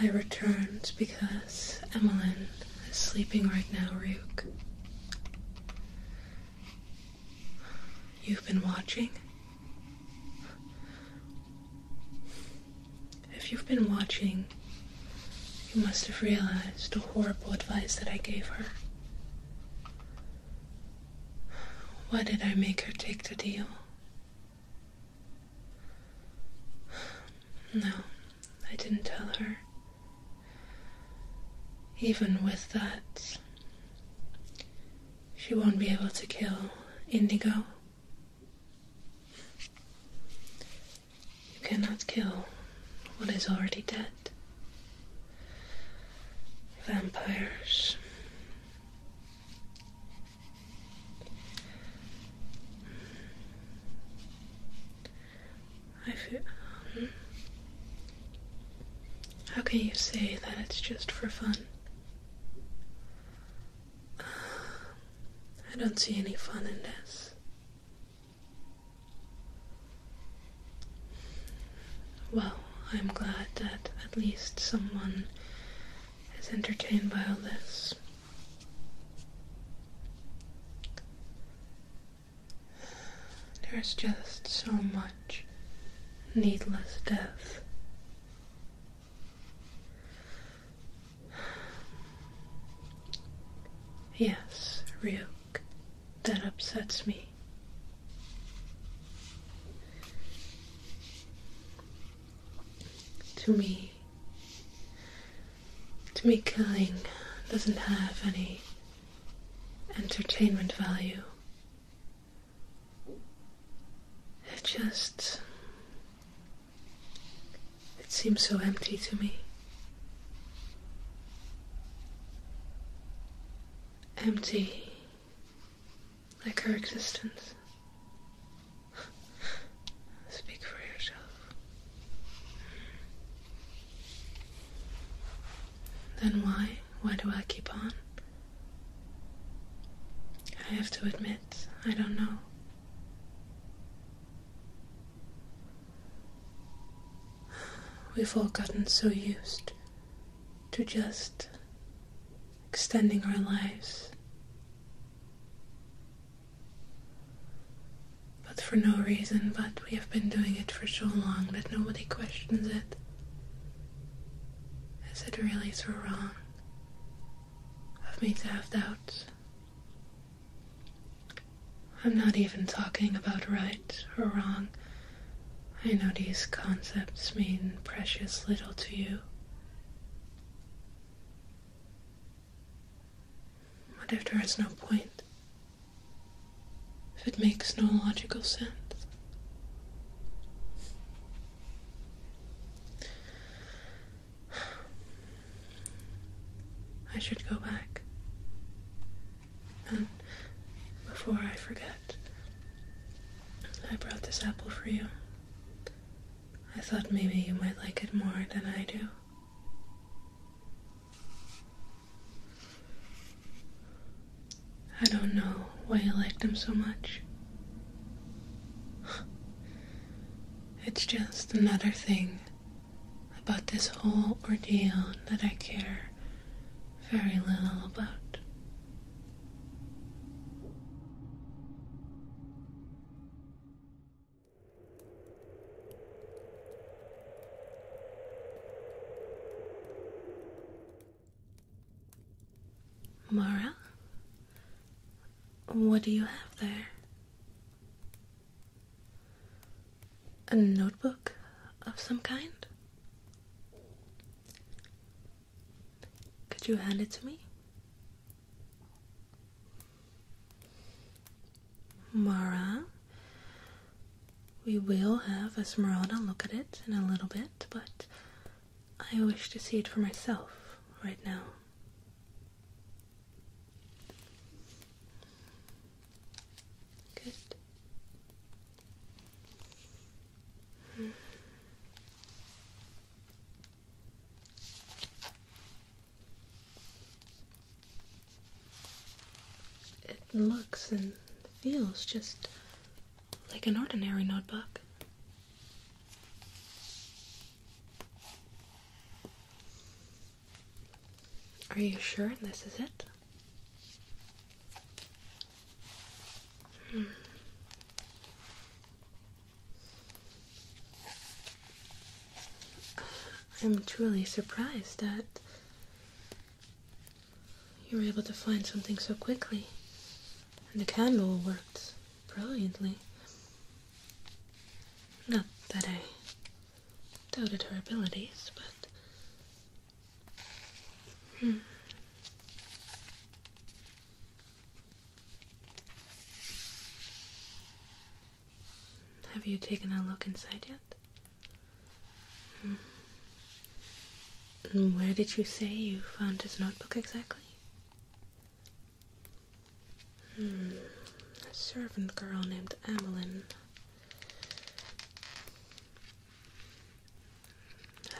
I returned because Emmeline is sleeping right now, Ryuk. You've been watching? If you've been watching, you must have realized the horrible advice that I gave her. Why did I make her take the deal? No, I didn't tell her. Even with that, she won't be able to kill Indigo. You cannot kill what is already dead. Vampires. I feel. Um, how can you say that it's just for fun? I don't see any fun in this. Well, I'm glad that at least someone is entertained by all this. There is just so much needless death. Yes, Ryuk, that upsets me to me. To me, killing doesn't have any entertainment value. It just. It seems so empty to me. Empty like her existence. Speak for yourself. Then why? Why do I keep on? I have to admit, I don't know. We've all gotten so used to just extending our lives. But for no reason, but we have been doing it for so long that nobody questions it, as it really so wrong of me to have doubts? I'm not even talking about right or wrong. I know these concepts mean precious little to you. What if there is no point? If it makes no logical sense? I should go back. And before I forget, I brought this apple for you. I thought maybe you might like it more than I do. I don't know why you like them so much. It's just another thing about this whole ordeal that I care very little about. Mara, what do you have there? A notebook of some kind? Could you hand it to me? Mara, we will have Esmeralda look at it in a little bit, but I wish to see it for myself right now. Good. Hmm. It looks and feels just like an ordinary notebook. Are you sure this is it? Hmm. I'm truly surprised that you were able to find something so quickly, and the candle worked brilliantly. Not that I doubted her abilities, but. Hmm. Have you taken a look inside yet? Hmm. where did you say you found his notebook exactly? Hmm. A servant girl named Amelien.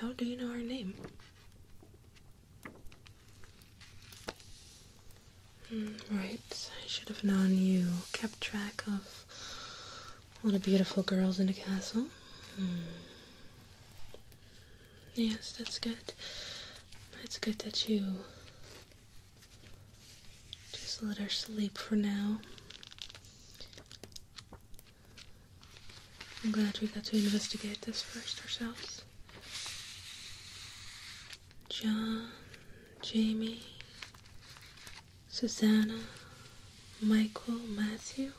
How do you know her name? Mm, right, I should have known you kept track of all the beautiful girls in the castle. Hmm. Yes, that's good. It's good that you just let her sleep for now. I'm glad we got to investigate this first ourselves. John, Jamie, Susanna, Michael, Matthew.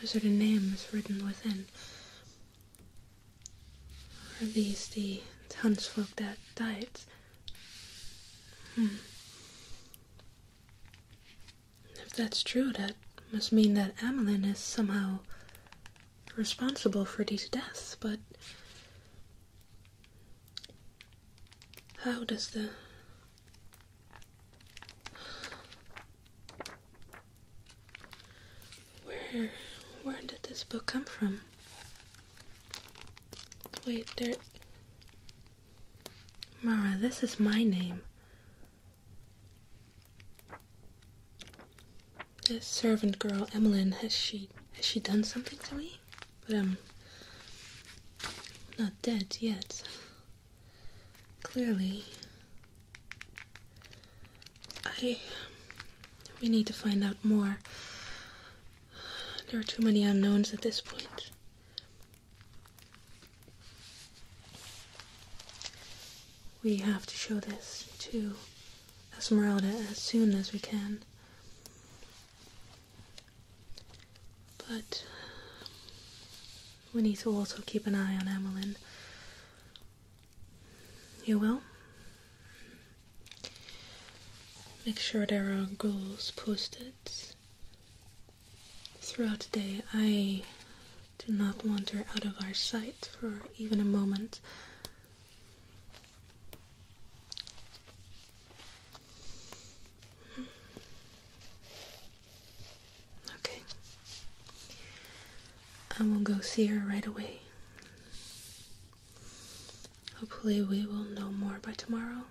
Those are the names written within. Are these the townsfolk that died? Hmm. If that's true, that must mean that Amelin is somehow responsible for these deaths, but how does the where where did this book come from? Wait, there Mara, this is my name. This servant girl, Emmeline, has she has she done something to me? But I'm um, not dead yet. Clearly, I we need to find out more. There are too many unknowns at this point. We have to show this to Esmeralda as soon as we can. But we need to also keep an eye on Emmeline. You will? Make sure there are goals posted throughout the day. I do not want her out of our sight for even a moment. Okay. I will go see her right away. Hopefully, we will know more by tomorrow.